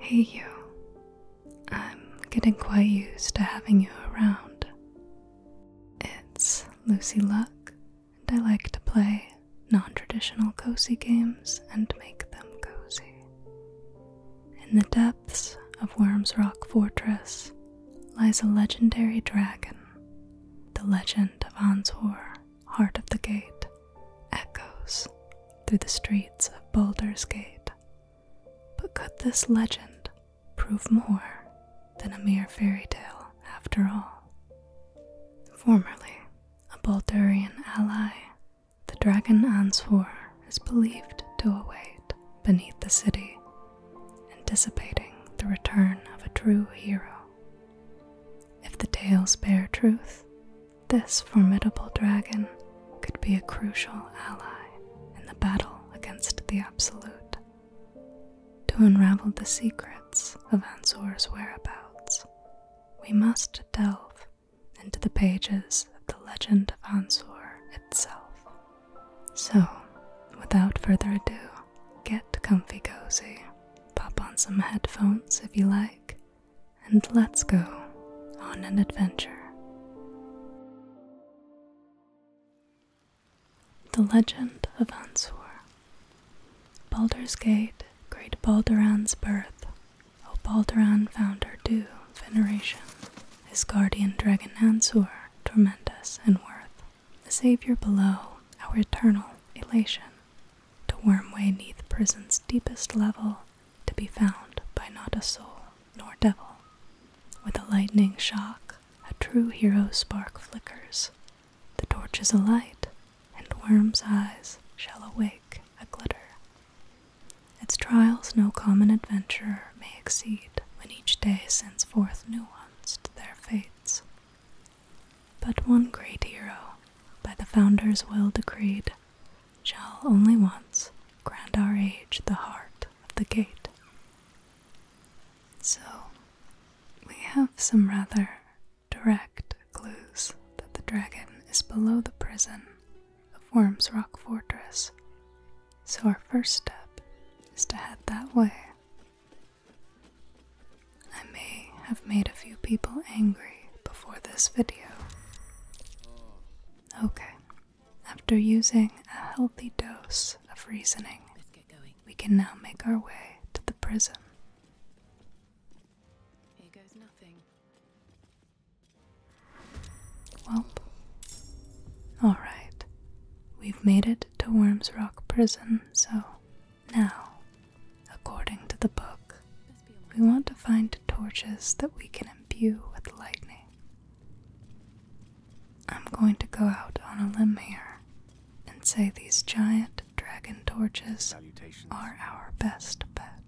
Hey, you. I'm getting quite used to having you around. It's Lucy Luck, and I like to play non traditional cozy games and make them cozy. In the depths of Worms Rock Fortress lies a legendary dragon. The legend of Anzor, Heart of the Gate, echoes through the streets of Boulder's Gate. But could this legend prove more than a mere fairy tale after all? Formerly, a Boulderian ally the dragon Answer is believed to await beneath the city, anticipating the return of a true hero. If the tales bear truth, this formidable dragon could be a crucial ally in the battle against the Absolute. To unravel the secrets of Ansor's whereabouts, we must delve into the pages of the legend of Ansor itself. So, without further ado, get comfy cozy, pop on some headphones if you like, and let's go on an adventure. The Legend of Ansor Balder's Gate, Great Balderan's Birth, Opaldaran found her due veneration. His guardian dragon Ansur, Tormentus, and Worth, the savior below, our eternal elation, to worm way neath prison's deepest level, to be found by not a soul nor devil. With a lightning shock, a true hero spark flickers, the torch is alight, and worm's eyes shall awake a glitter. Its trials no common adventurer may exceed when each day sends forth new ones to their fates. But one great hero, by the founder's will decreed, shall only once grant our age the heart of the gate. So, we have some rather direct clues that the dragon is below the prison of Worms Rock Fortress. So, our first step is to head that way. I may have made a few people angry before this video. Okay, after using a healthy dose of reasoning, we can now make our way to the prison. Well, alright. We've made it to Worms Rock Prison, so now, according to the book, we want to find torches that we can imbue with lightning. I'm going to go out on a limb here and say these giant dragon torches are our best bet.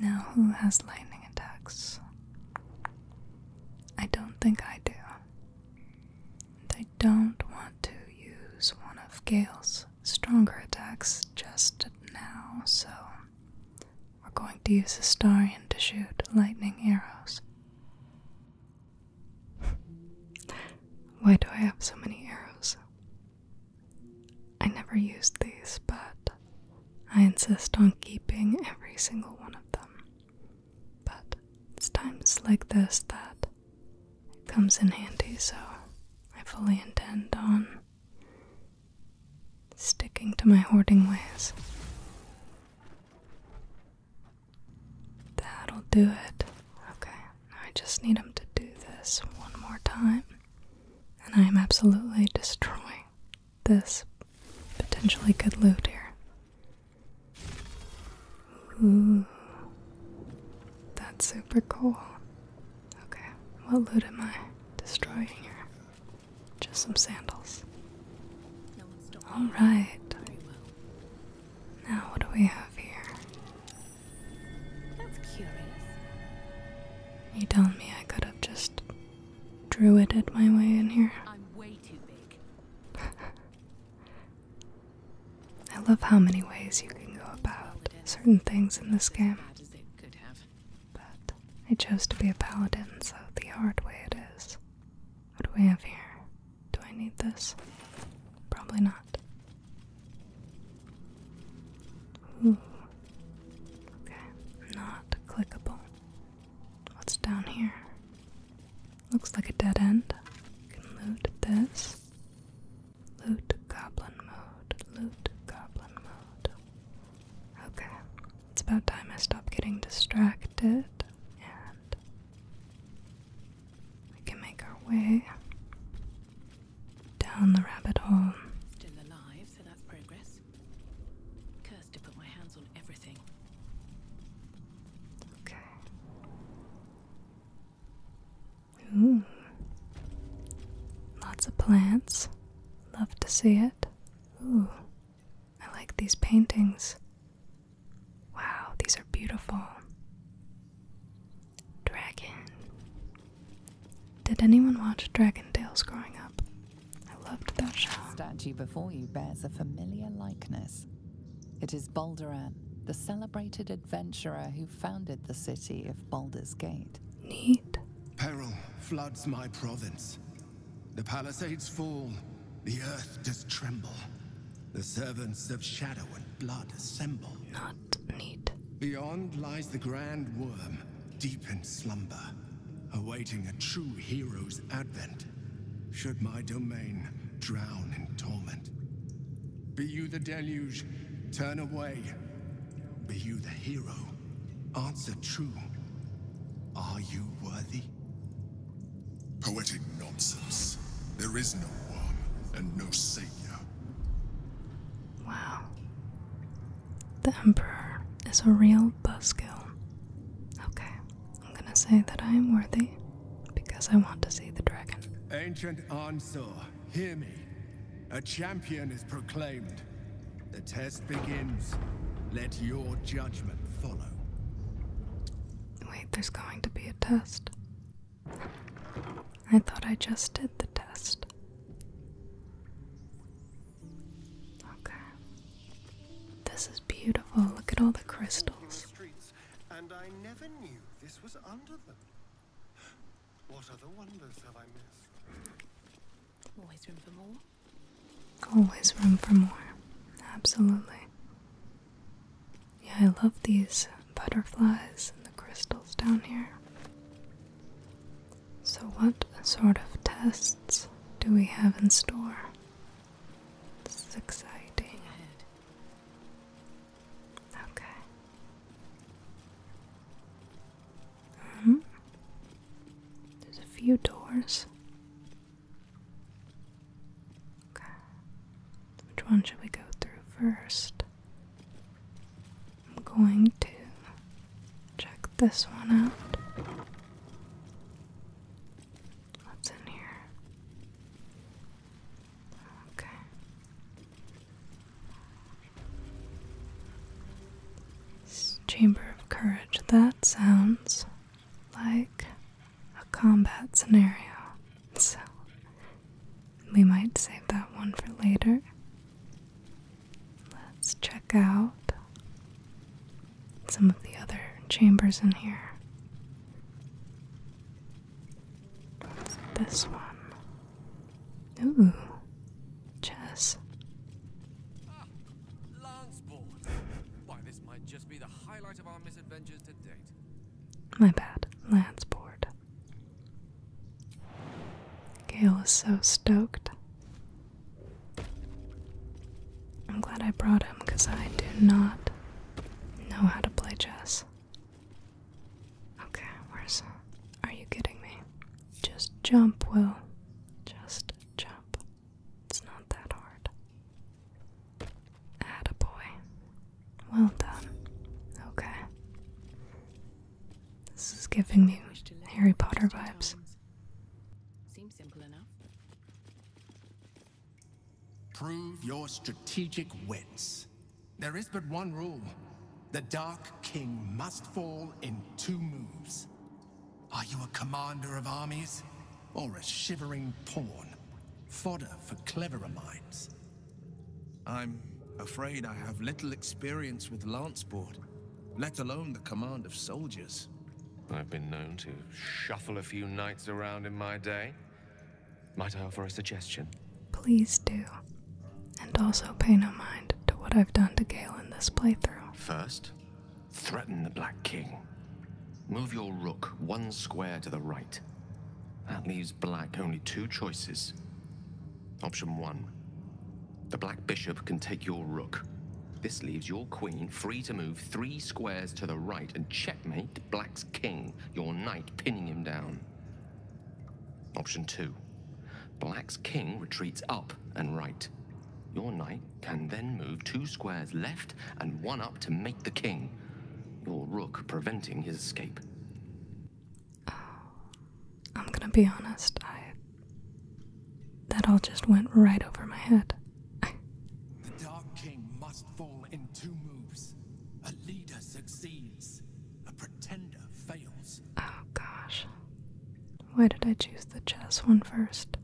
Now, who has lightning attacks? I don't think I do. I don't want to use one of Gale's stronger attacks just now, so we're going to use a Starion to shoot lightning arrows. Why do I have so many arrows? I never used these, but I insist on keeping every single one of them. But it's times like this that it comes in handy, so I fully intend on sticking to my hoarding ways. That'll do it. Okay, I just need him to do this one more time. And I am absolutely destroying this potentially good loot here. Ooh. That's super cool. Okay, what loot am I destroying here? Just some sandals. Alright. Now, what do we have here? That's curious. You tell me I could have just drew it at my way in here. I'm way too big. I love how many ways you can go about certain things in this game. But I chose to be a paladin, so the hard way it is. What do we have here? Do I need this? Probably not. Okay, not clickable. What's down here? Looks like a dead end. Can loot this. Loot goblin mode. Loot goblin mode. Okay, it's about time I stop getting distracted and we can make our way down the rabbit hole. Still alive, so that's progress. Cursed to put my hands on everything. Okay. Ooh. Lots of plants. Love to see it. Ooh. I like these paintings. Wow, these are beautiful. Dragon. Did anyone watch Dragon Tales growing up? I loved that show. The statue before you bears a familiar likeness. It is Balderan, the celebrated adventurer who founded the city of Baldur's Gate. Neat. Peril floods my province. The palisades fall, the earth does tremble. The servants of shadow and blood assemble. Beyond lies the Grand Worm, deep in slumber, awaiting a true hero's advent. Should my domain drown in torment. Be you the deluge, turn away. Be you the hero, answer true. Are you worthy? Poetic nonsense. There is no one, and no savior. Wow. The Emperor is a real buzzkill. Okay, I'm gonna say that I am worthy because I want to see the dragon. Ancient Ansor, hear me. A champion is proclaimed. The test begins. Let your judgment follow. Wait, there's going to be a test. I thought I just did the test. Okay. This is beautiful. Look at all the crystals. and I never knew this was under them. What other wonders have I missed? Always room for more. Always room for more. Absolutely. Yeah, I love these butterflies and the crystals down here. So, what sort of tests do we have in store? This exciting. Okay. hmm There's a few doors. Okay. Which one should we go through first? I'm going to check this one out. What's in here? Okay. Chamber of Courage. That sounds like a combat scenario. So we might save that one for later. Let's check out some of the other chambers in here. this one? Ooh, chess. Why, this might just be the highlight of our misadventures to date. My bad, Lanceboard. bored. Gale is so stoked. I'm glad I brought him because I do not know how to play chess. Okay, where's. Are you kidding me? Just jump, Will. Just jump. It's not that hard. Attaboy. Well done. Okay. This is giving me Harry Potter vibes. Seems simple enough. Prove your strategic wits. There is but one rule. The Dark King must fall in two moves. Are you a commander of armies or a shivering pawn? Fodder for cleverer minds. I'm afraid I have little experience with Lanceboard, let alone the command of soldiers. I've been known to shuffle a few knights around in my day. Might I offer a suggestion? Please do. And also pay no mind to what I've done to Gael in this playthrough. First, threaten the Black King. Move your rook one square to the right that leaves Black only two choices. Option one the Black Bishop can take your rook. This leaves your queen free to move three squares to the right and checkmate Black's king, your knight pinning him down. Option two Black's king retreats up and right. Your knight can then move two squares left and one up to mate the king, your rook preventing his escape. Oh, I'm gonna be honest, I. That all just went right over my head. the Dark King must fall in two moves. A leader succeeds, a pretender fails. Oh gosh. Why did I choose the chess one first?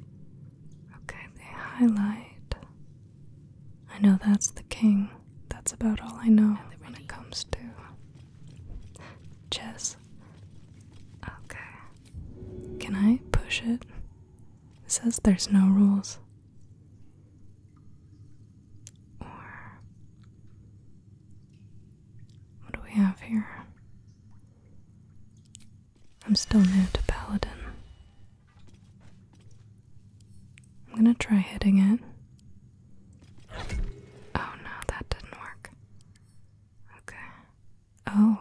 Okay, they highlight I know that's the king. That's about all I know when it comes to chess. Okay. Can I push it? It says there's no rules. Or. What do we have here? I'm still new to Paladin. I'm gonna try hitting it. Oh no, that didn't work. Okay. Oh.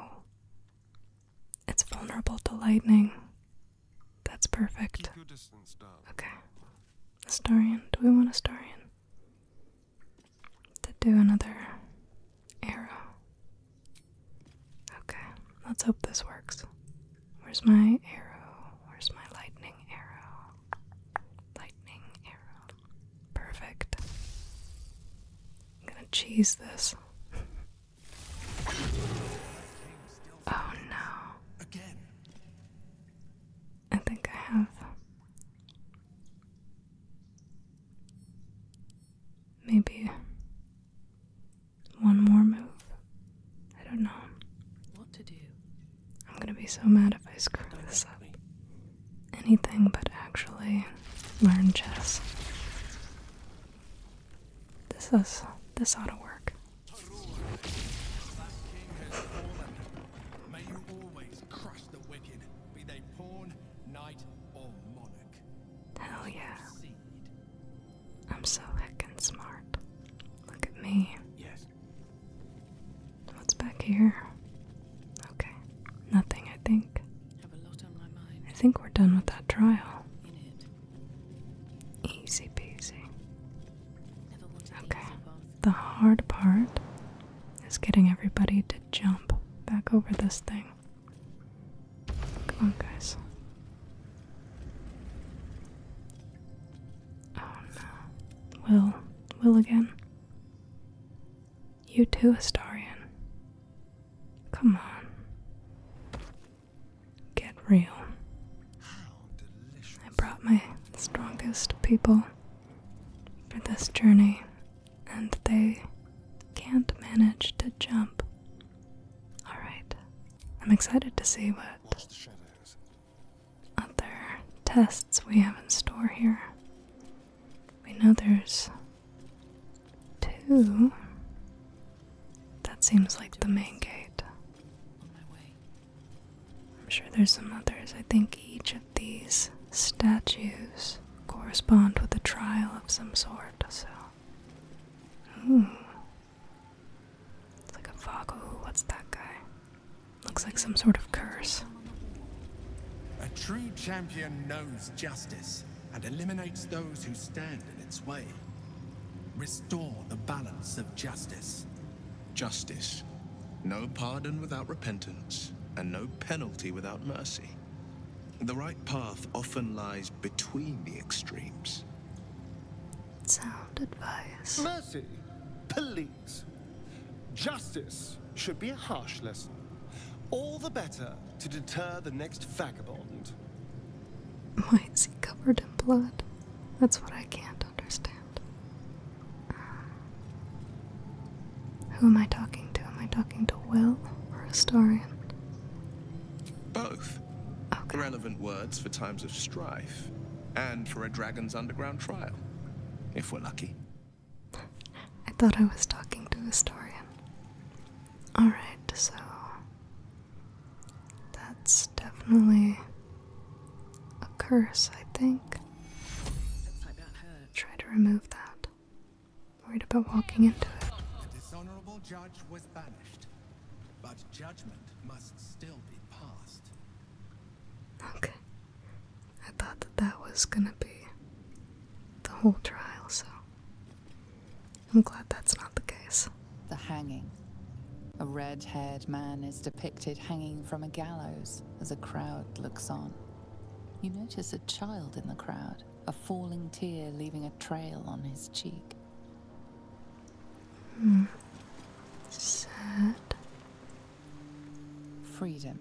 It's vulnerable to lightning. That's perfect. Okay. Astarian. Do we want Astarian? To do another arrow. Okay, let's hope this works. Where's my arrow? Where's my lightning arrow? Lightning arrow. Perfect. I'm gonna cheese this. oh no. Again. I think I have. Maybe one more move. I don't know. What to do? I'm gonna be so mad if I screw this up. Anything but actually learn chess. This is this ought to work. Hell yeah. I'm so heckin' smart. Look at me. What's back here? Okay, nothing, I think. I think we're done with that trial. Easy peasy. okay, the hard part is getting everybody to jump back over this thing. Come on, guys. Oh no. Will. Will again. You too, Astarian. Come on. Get real. I brought my strongest people for this journey, and they can't manage to jump. Alright. I'm excited to see what other tests we have in store here. We know there's two. That seems like the main gate. I'm sure there's some others. I think each of these statues correspond with a trial of some sort, so. Ooh, it's like a fog. what's that guy? Looks like some sort of curse. A true champion knows justice and eliminates those who stand in its way. Restore the balance of justice. Justice. No pardon without repentance, and no penalty without mercy. The right path often lies between the extremes. Sound advice. Mercy, police, justice should be a harsh lesson. All the better to deter the next vagabond. Why is he covered in blood? That's what I can't understand. Uh, who am I talking to? Am I talking to Will or Historian? Both. Okay. Relevant words for times of strife and for a dragon's underground trial, if we're lucky. I thought I was talking to a historian. Alright, so that's definitely a curse, I think. Try to remove that. Worried about walking into it. But judgment must still be passed. Okay. I thought that that was gonna be the whole trial, so I'm glad that's not the case. The hanging. A red haired man is depicted hanging from a gallows as a crowd looks on. You notice a child in the crowd, a falling tear leaving a trail on his cheek. Sad. Freedom.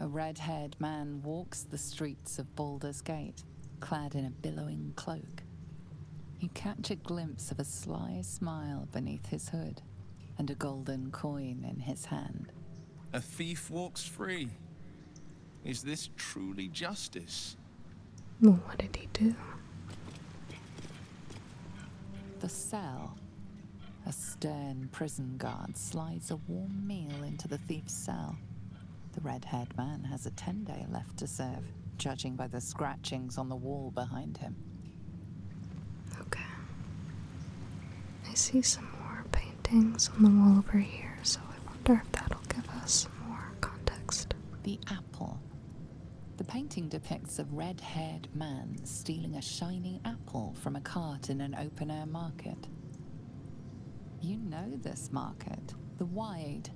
A red haired man walks the streets of Baldur's Gate, clad in a billowing cloak. You catch a glimpse of a sly smile beneath his hood and a golden coin in his hand. A thief walks free. Is this truly justice? Well, what did he do? The cell. A stern prison guard slides a warm meal into the thief's cell. The red haired man has a ten day left to serve, judging by the scratchings on the wall behind him. Okay. I see some more paintings on the wall over here, so I wonder if that'll give us more context. The apple. The painting depicts a red haired man stealing a shiny apple from a cart in an open air market. You know this market, the wide,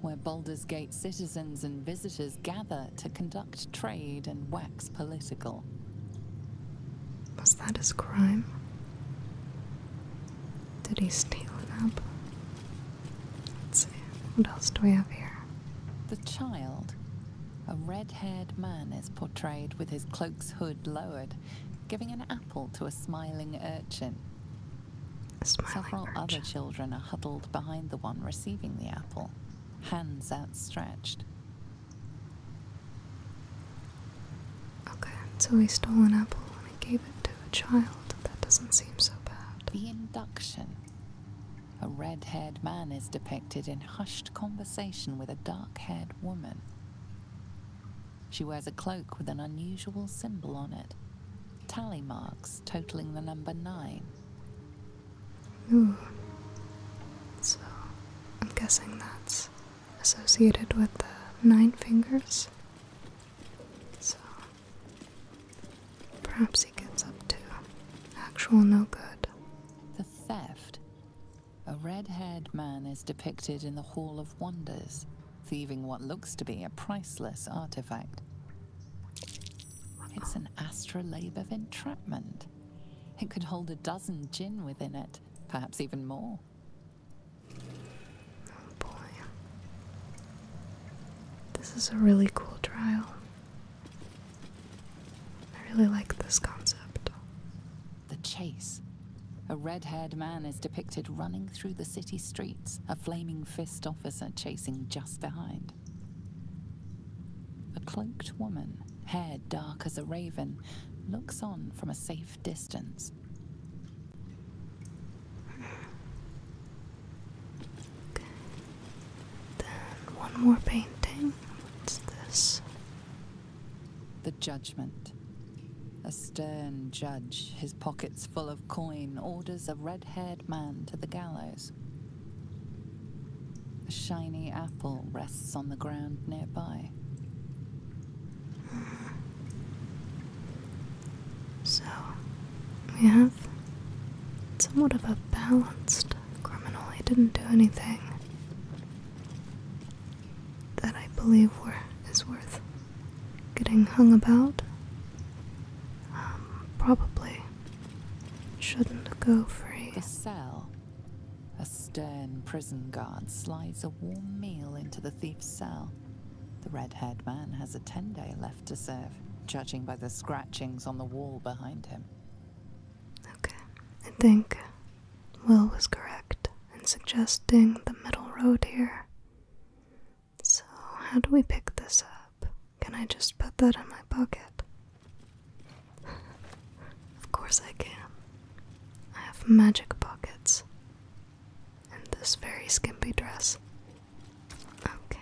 where Baldur's Gate citizens and visitors gather to conduct trade and wax political. Was that his crime? Did he steal an apple? Let's see, what else do we have here? The child, a red haired man, is portrayed with his cloak's hood lowered, giving an apple to a smiling urchin. Several other children are huddled behind the one receiving the apple, hands outstretched. Okay, so he stole an apple and he gave it to a child. That doesn't seem so bad. The induction a red haired man is depicted in hushed conversation with a dark haired woman. She wears a cloak with an unusual symbol on it tally marks totaling the number nine. So, I'm guessing that's associated with the nine fingers. So, Perhaps he gets up to actual no good. The theft? A red haired man is depicted in the Hall of Wonders, thieving what looks to be a priceless artifact. It's an astrolabe of entrapment. It could hold a dozen gin within it, perhaps even more. Oh, boy. This is a really cool trial. I really like this concept. The chase. A red haired man is depicted running through the city streets, a flaming fist officer chasing just behind. A cloaked woman, hair dark as a raven, looks on from a safe distance. Then one more painting. What's this? The Judgment. A stern judge, his pockets full of coin, orders a red haired man to the gallows. A shiny apple rests on the ground nearby. So, we somewhat of a balanced criminal. He didn't do anything that I believe is worth getting hung about. Um, probably shouldn't go free. The cell. A stern prison guard slides a warm meal into the thief's cell. The red haired man has a ten day left to serve, judging by the scratchings on the wall behind him. Okay, I think Will was correct in suggesting the middle road here. So, how do we pick this up? Can I just put that in my pocket? of course, I can. I have magic pockets. In this very skimpy dress. Okay,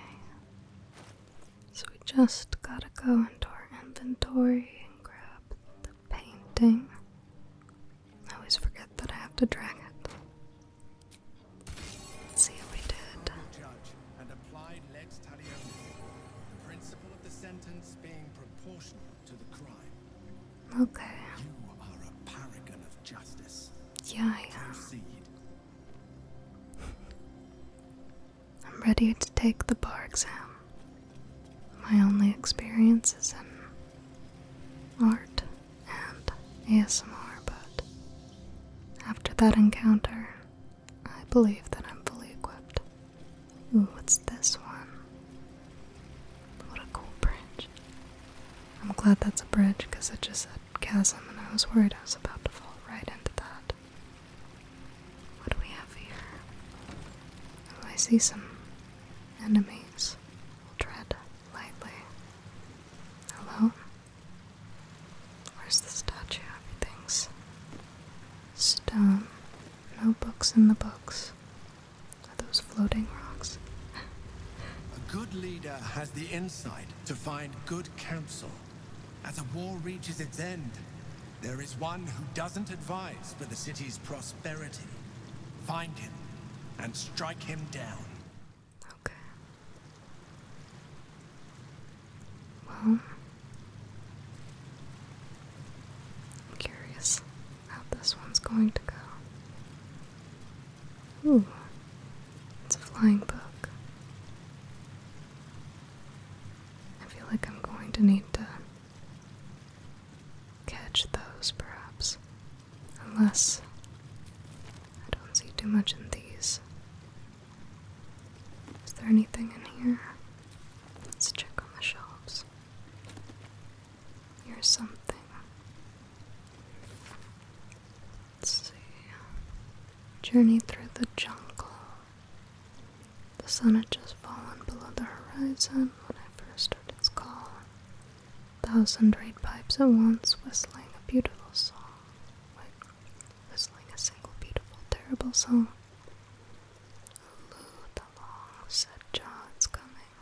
so we just gotta go into our inventory and grab the painting. I always forget that I have to drag it. see how we did. Judge and applied lex talione, the principle of the sentence being proportional to the crime. Okay. You are a paragon of justice. Yeah, I'm ready to take the bar exam. My only experience is in art and ASMR, but after that encounter, I believe that I'm fully equipped. Ooh, what's this one? What a cool branch. I'm glad that's a bridge because it just said chasm and I was worried I was about to fall right into that. What do we have here? Oh, I see some enemies. We'll tread lightly. Hello? Where's the statue? Everything's stone. No books in the books. Are those floating rocks? a good leader has the insight to find good counsel. As a war reaches its end, there is one who doesn't advise for the city's prosperity. Find him and strike him down. Okay. Well, I'm curious how this one's going to go. Ooh, it's a flying book. I feel like I'm going to need to catch those perhaps. Unless I don't see too much in these. Is there anything in here? Let's check on the shelves. Here's something. Journey through the jungle. The sun had just fallen below the horizon when I first heard its call. thousand reed pipes at once whistling a beautiful song. Wait, whistling a single beautiful, terrible song. Lulu the long said Jaw it's coming.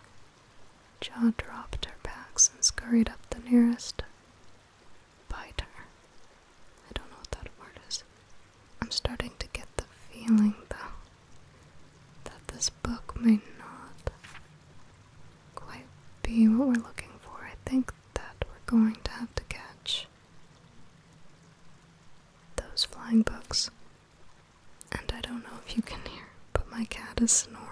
Jaw dropped her bags and scurried up the nearest Biter. I don't know what that word is. I'm starting to get the feeling, though, that this book may not quite be what we're looking for. I think that we're going to have to catch those flying books. And I don't know if you can hear, but my cat is snoring.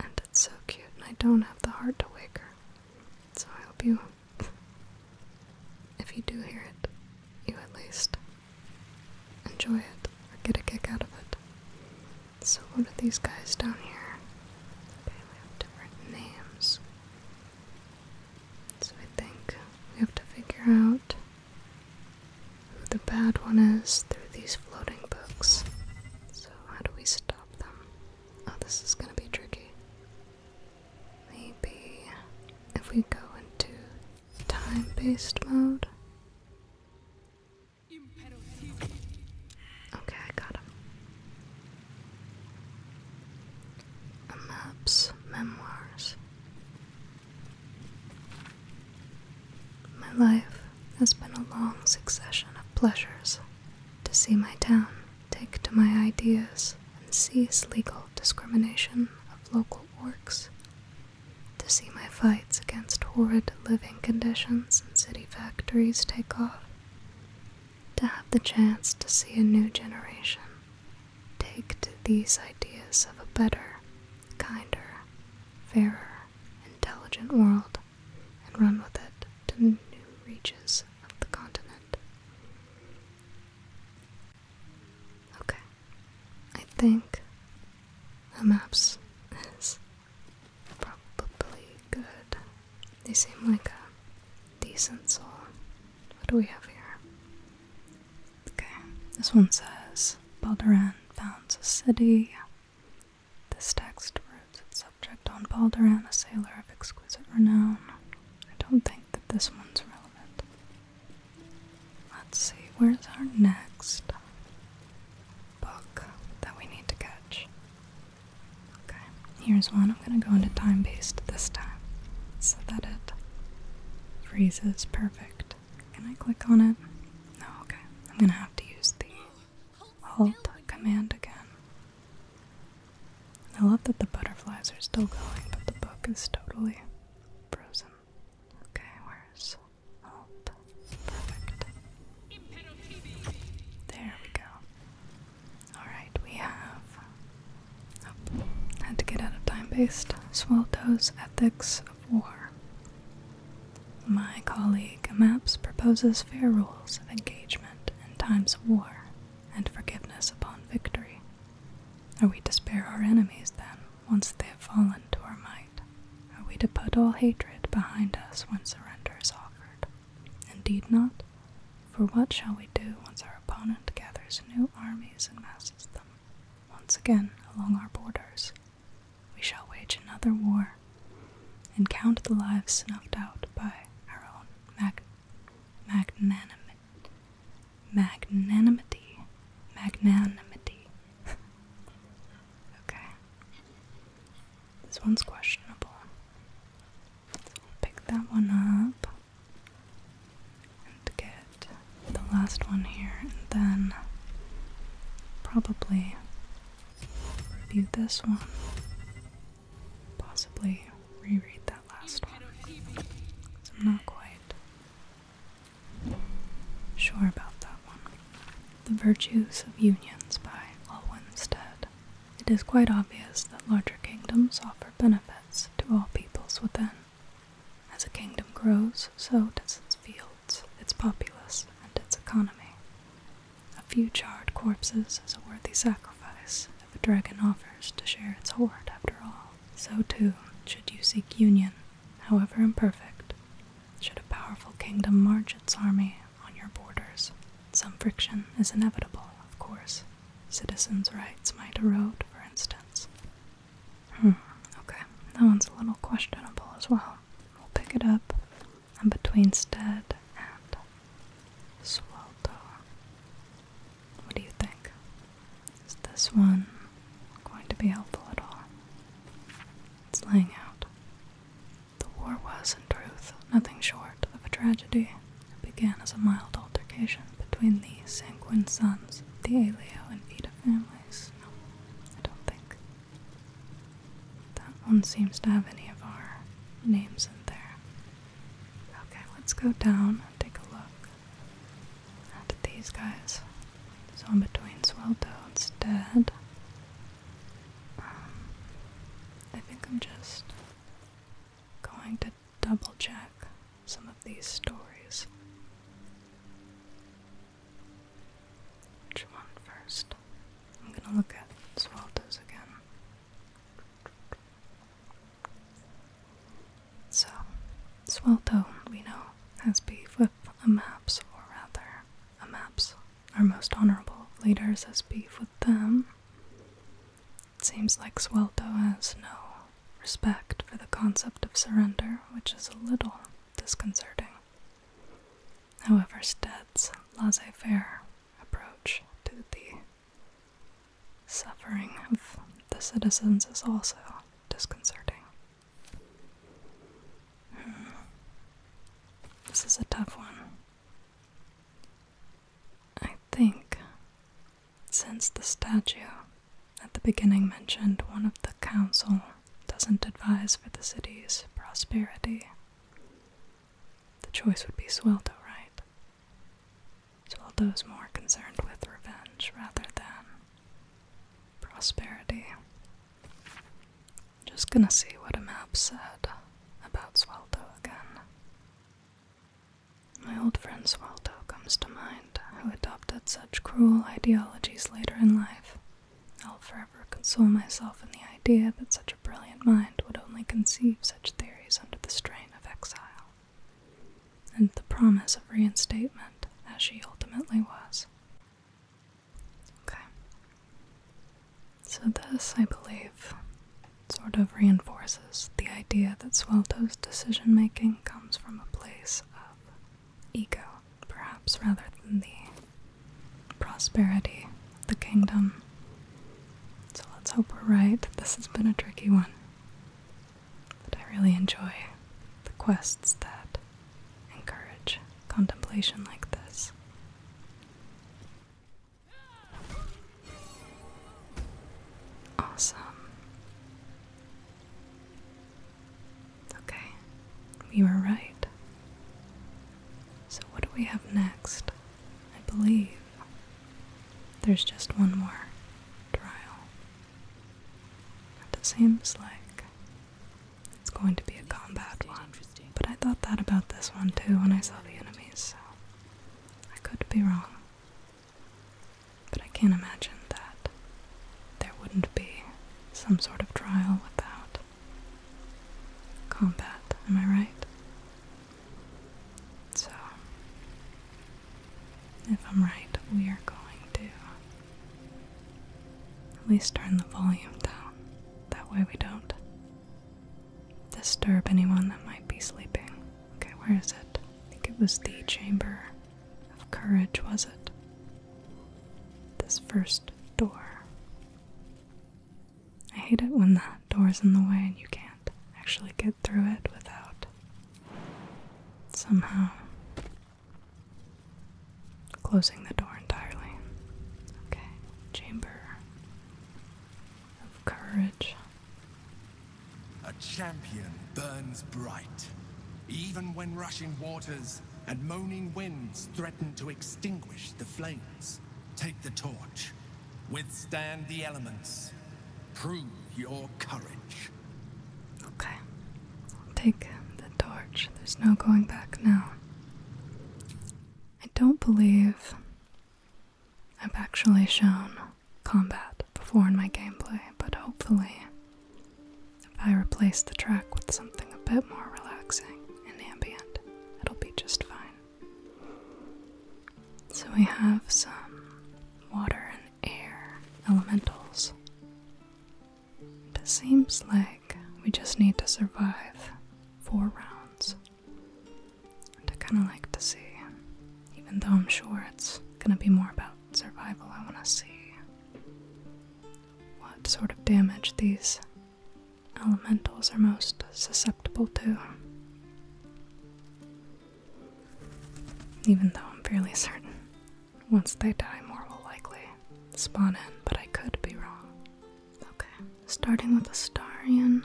And it's so cute, and I don't have the heart to wake her. So I hope you, if you do hear it, you at least enjoy it or get a kick out of it. So, what are these guys down here? Okay, we have different names. So, I think we have to figure out who the bad one is through these floating books. So, how do we stop? Oh, this is gonna be tricky. Maybe if we go into time based mode. Okay, I got him. map's memoirs. My life has been a long succession of pleasures to see my town take to my ideas and cease legal discrimination of local works, to see my fights against horrid living conditions in city factories take off, to have the chance to see a new generation take to these ideas of a better, kinder, fairer, intelligent world and run with it to new reaches of the continent. Okay, I think the maps is probably good. They seem like a decent soul. What do we have here? Okay, this one says Balderan founds a city. This text roots its subject on Balderan, a sailor of exquisite renown. I don't think that this one's relevant. Let's see, where's our next book that we need to catch? Okay, here's one. I'm going to go into time based this time so that it freezes perfect. Can I click on it? No, okay. I'm going to have to use the Halt command again. I love that the butterflies are still going, but the book is totally frozen. Okay, where's Alt? Perfect. There we go. Alright, we have. had to get out of time based. Swaltow's Ethics of my colleague Maps proposes fair rules of engagement in times of war and forgiveness upon victory. Are we to spare our enemies then, once they have fallen to our might? Are we to put all hatred behind us when surrender is offered? Indeed not. For what shall we do once our opponent gathers new armies and masses them, once again along our borders, we shall wage another war and count the lives snuffed out by our own magnanimity magnanimity magnanimity okay this one's questionable pick that one up and get the last one here and then probably Review this one. Possibly reread that last one. I'm not quite sure about that one. The Virtues of Unions by Olwinstead. It is quite obvious that larger kingdoms offer benefits to all peoples within. As a kingdom grows, so does its field its populace, and its economy. A few charred corpses is a worthy sacrifice if a dragon offers to share its hoard, after all. So, too, should you seek union, however imperfect, should a powerful kingdom march its army on your borders. Some friction is inevitable, of course. Citizens' rights might erode, for instance. Hmm, okay, that one's a little questionable as well. We'll pick it up and between Stead and swelter, What do you think? Is this one going to be helpful at all? It's laying out. The war was, in truth, nothing short of a tragedy. It began as a mild altercation between the sanguine sons the Aelio and Vita families. No, I don't think that one seems to have any of our names in there. Okay, let's go down and take a look at these guys. So in between Swelltoad's dead. Um, I think I'm just going to double check some of these stories. Which one first? I'm gonna look at Swalda's again. So, Swelto, we know, has beef with a Amaps, or rather, a Amaps, our most honorable leaders, has beef with them. It seems like Swelto has no respect for the concept of surrender, which is a little disconcerting. However, Stead's laissez faire approach to the suffering of the citizens is also disconcerting. Hmm. This is a tough one. I think since the statue at the beginning mentioned one of the council doesn't advise for the city's prosperity. The choice would be Sweldo, right? Sweldo Sweldo's more concerned with revenge rather than prosperity. Just gonna see what a map said about Sweldo again. My old friend Sweldo comes to mind, who adopted such cruel ideologies later in life I'll forever console myself in the idea that such a brilliant mind would only conceive such theories under the strain of exile, and the promise of reinstatement as she ultimately was. Okay. So, this, I believe, sort of reinforces the idea that Swelto's decision making comes from a place of ego, perhaps rather than the prosperity the kingdom. So let's hope we're right. This has been a tricky one. But I really enjoy the quests that encourage contemplation like this. Awesome. Okay, we were right. So, what do we have next? I believe there's just one more trial. That seems like it's going to be a combat one, but I thought that about this one too when I saw the enemies, so I could be wrong. But I can't imagine that there wouldn't be some sort of trial without combat, am I right? So, if I'm right, we are going to at least turn the volume down. That way we don't disturb anyone that might be sleeping. Okay, where is it? I think it was the Chamber of Courage, was it? This first door. I hate it when the door's in the way and you can't actually get through it without somehow closing the door entirely. Okay, chamber of courage. A champion burns bright. Even when rushing waters, and moaning winds threaten to extinguish the flames. Take the torch. Withstand the elements. Prove your courage. Okay. Take the torch. There's no going back now. I don't believe I've actually shown combat before in my gameplay, but hopefully if I replace the track with something a bit more relaxing and ambient, it'll be just fine. So we have some water and air elementals. It seems like we just need to survive four rounds. I kind of like to see, even though I'm sure it's going to be more about survival, I want to see what sort of damage these elementals are most susceptible to. Even though I'm fairly certain once they die, more will likely spawn in, but I could be wrong. Okay, starting with the Astarian, I'm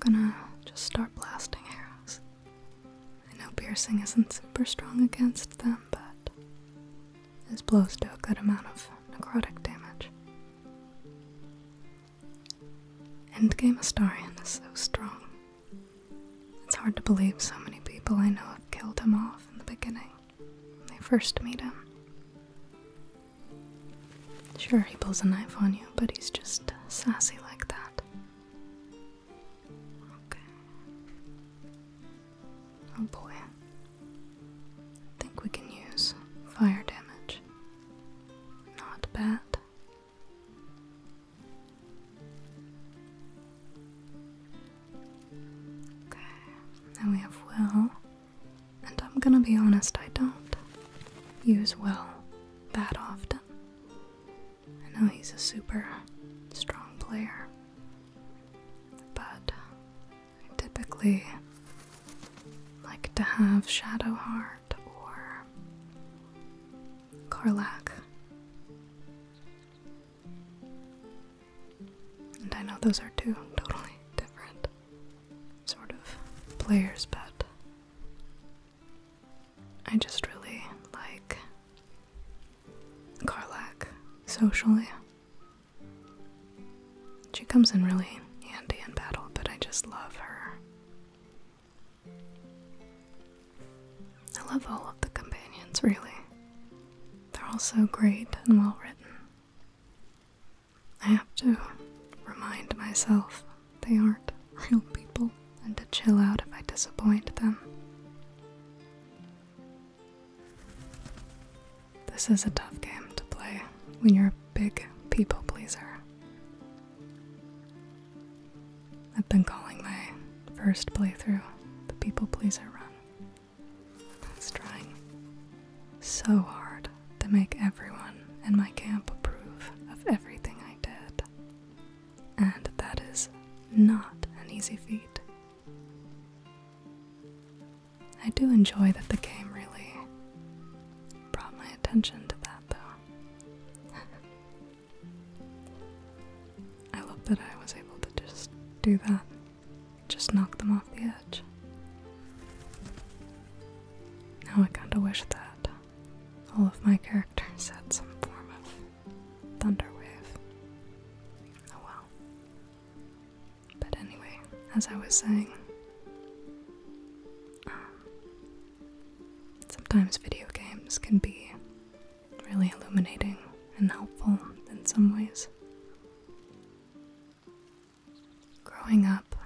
gonna just start blasting arrows. I know piercing isn't super strong against them, but his blows do a good amount of necrotic damage. Endgame Astarian is so strong. It's hard to believe so many people I know have killed him off in the beginning when they first meet him. Sure, he pulls a knife on you, but he's just sassy like that. Okay. Oh boy. I think we can use fire damage. Not bad. Okay, now we have Will. And I'm gonna be honest, I don't use well that often. I know he's a super strong player, but I typically like to have Shadowheart or Karlak. And I know those are two totally different sort of players, but I just really like Karlak socially. She comes in really handy in battle, but I just love her. I love all of the companions, really. They're all so great and well written. I have to remind myself they aren't real people and to chill out if I disappoint them. This is a tough game to play when you're a big people pleaser. I've been calling my first playthrough the People Pleaser Run. It's trying so hard to make everyone in my camp approve of everything I did. And that is not an easy feat I do enjoy that the game really brought my attention to that, though. I love that I was able to just do that, just knock them off the edge. Now I kinda wish that all of my characters had some form of thunderwave. Oh well. But anyway, as I was saying, um, sometimes video games can be really illuminating and helpful in some ways. Growing up,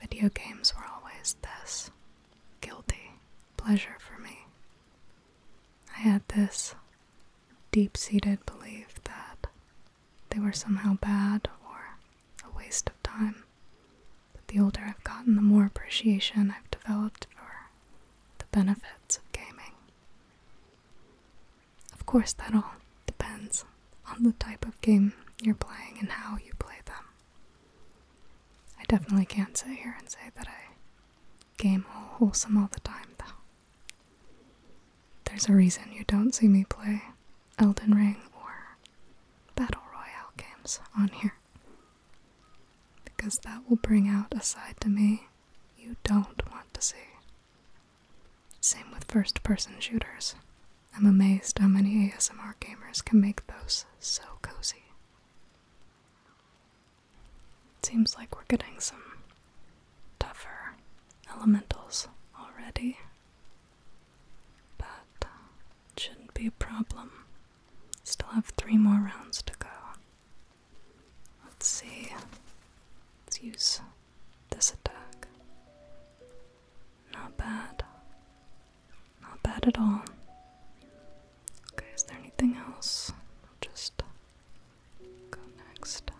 video games were always this guilty pleasure for me. I had this deep seated belief that they were somehow bad or a waste of time. But the older I've gotten, the more appreciation I've developed for the benefits of gaming. Of course, that all depends on the type of game you're playing and how you play them. I definitely can't sit here and say that I game wholesome all the time, though. There's a reason you don't see me play Elden Ring or Battle Royale games on here. Because that will bring out a side to me you don't want to see. Same with first person shooters. I'm amazed how many ASMR gamers can make those so cozy. Seems like we're getting some tougher elementals already. But uh, shouldn't be a problem. Still have three more rounds to go. Let's see. Let's use this attack. Not bad. Not bad at all. Okay, is there anything else? just go next.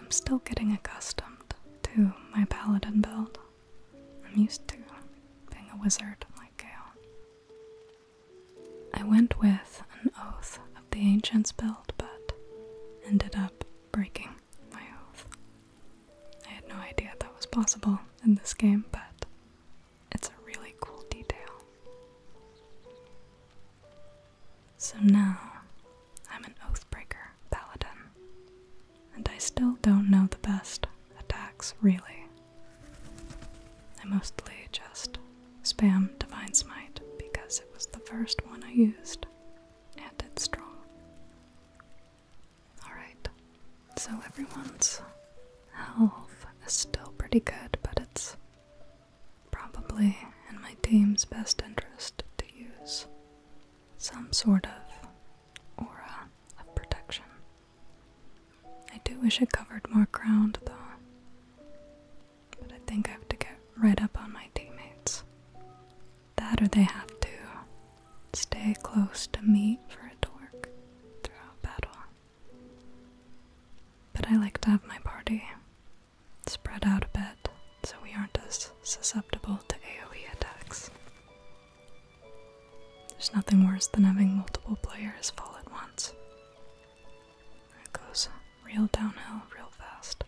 I'm still getting accustomed to my paladin build. I'm used to being a wizard like Gale. I went with an oath of the ancients build, but ended up breaking my oath. I had no idea that was possible in this game, but it's a really cool detail. So now I'm an Oathbreaker Paladin, and I still don't know the best attacks, really. I mostly just spam Divine Smite because it was the first one I used, and it's strong. Alright, so everyone's health is still pretty good, but it's probably in my team's best interest to use some sort of aura of protection. I do wish it covered more ground though, but I think I have to get right up on my teammates. That or they have to stay close to me for it to work throughout battle. But I like to have my party spread out a bit so we aren't as susceptible to AoE attacks. There's nothing worse than having multiple players fall at once. It goes real downhill real fast.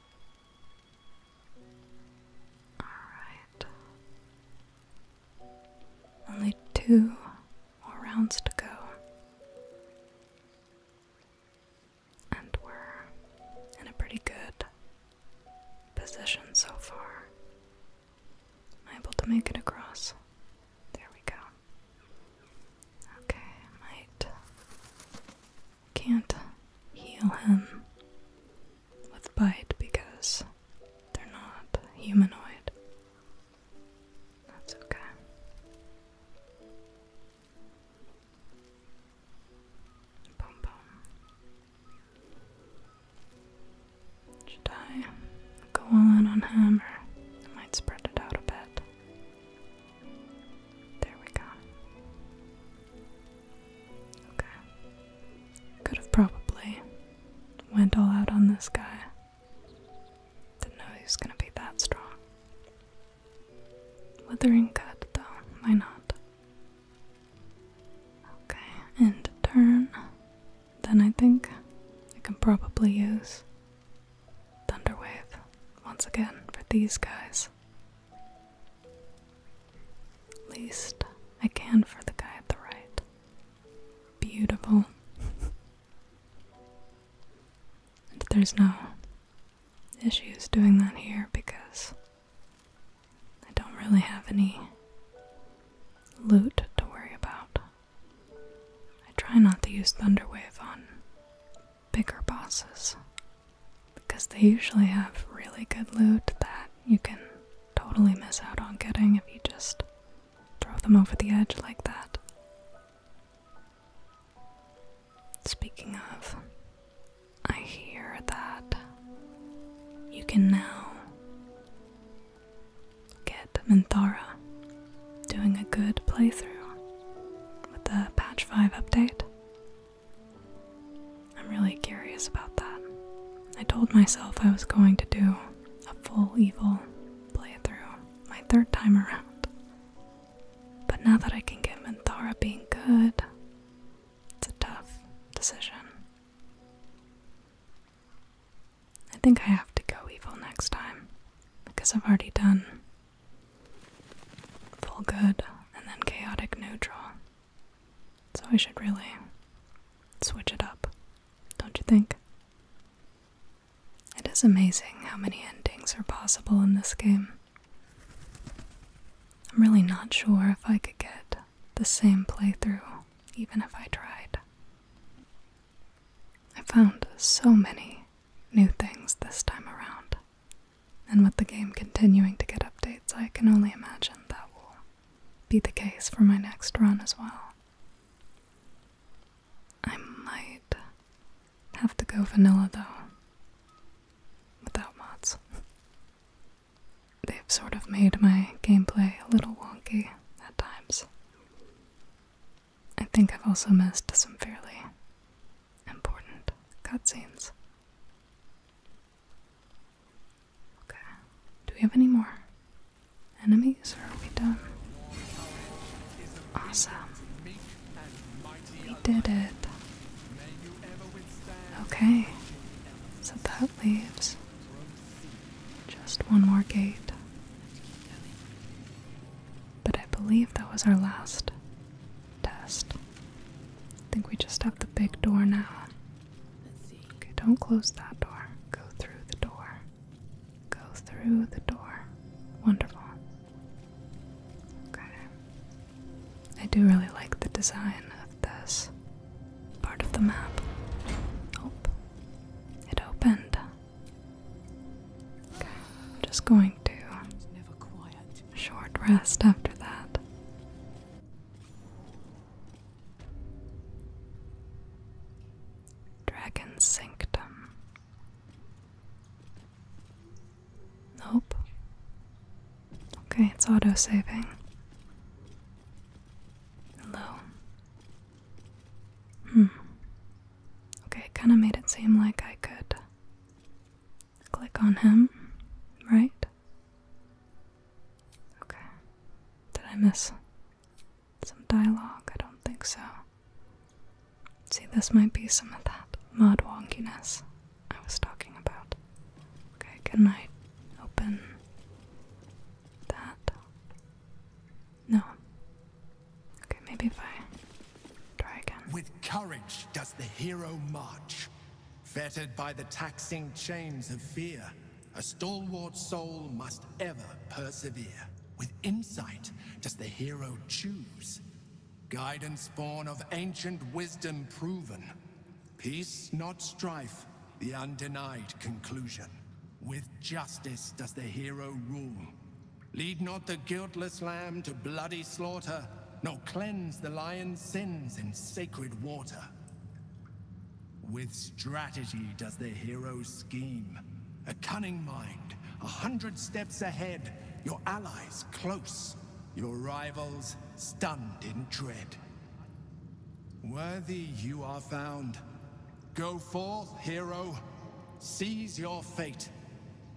Alright. Only two more rounds to go. And we're in a pretty good position so far. able to make it across. There we go. Okay, might. Can't heal him with bite because they're not humanoid. That's okay. Pom pom. Should I go all in on him or I might spread it out a bit? There we go. Okay. Could have probably went all out on this guy. Didn't know he was gonna be that strong. Withering cut, though, why not? Okay, and turn. Then I think I can probably use Thunderwave once again for these guys. At least I can for the guy at the right. Beautiful. there's no issues doing that here because I don't really have any loot to worry about. I try not to use Thunderwave on bigger bosses because they usually have really good loot that you can totally miss out on getting if you just throw them over the edge like that. Speaking of, I hear that you can now get Minthara doing a good playthrough with the patch 5 update. I'm really curious about that. I told myself I was going to do a full evil playthrough my third time around, but now that I can get Minthara being good, it's a tough decision. I think I have to go evil next time because I've already done full good and then chaotic neutral. So I should really switch it up, don't you think? It is amazing how many endings are possible in this game. I'm really not sure if I could get the same playthrough, even if I tried. I found so many new things this time around, and with the game continuing to get updates, I can only imagine that will be the case for my next run as well. I might have to go vanilla though. Without mods. They've sort of made my gameplay a little wonky at times. I think I've also missed some fairly important cutscenes. Okay. Do we have any more enemies or are we done? Awesome. We did it. Okay. So that leaves just one more gate. But I believe that was our last test. I think we just have the big door now. don't close that door. Go through the door. Go through the door. Wonderful. Okay. I do really like the design of this part of the map. Oh, it opened. Okay, I'm just going to never quiet. short rest after that. Dragon's Sanctum. Nope. Okay, it's auto saving. Hello. Hmm. Okay, kind of made it seem like I could click on him, right? Okay. Did I miss some dialogue? I don't think so. See, this might be some of that mod wonkiness I was talking about. Okay, can I open that? No. Okay, maybe if try again. With courage does the hero march, fettered by the taxing chains of fear. A stalwart soul must ever persevere. With insight does the hero choose. Guidance born of ancient wisdom proven. Peace, not strife, the undenied conclusion. With justice does the hero rule. Lead not the guiltless lamb to bloody slaughter, nor cleanse the lion's sins in sacred water. With strategy does the hero scheme. A cunning mind, a hundred steps ahead, your allies close, your rivals stunned in dread. Worthy you are found. Go forth, hero, seize your fate,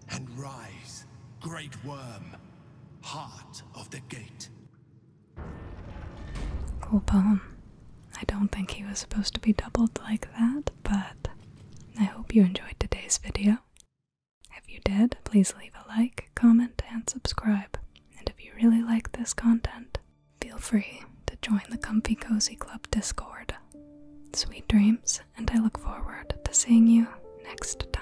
and rise, great worm, heart of the gate. Cool poem. I don't think he was supposed to be doubled like that, but I hope you enjoyed today's video. If you did, please leave a like, comment, and subscribe. And if you really like this content, feel free to join the Comfy Cozy Club Discord. Sweet dreams, and I look forward to seeing you next time.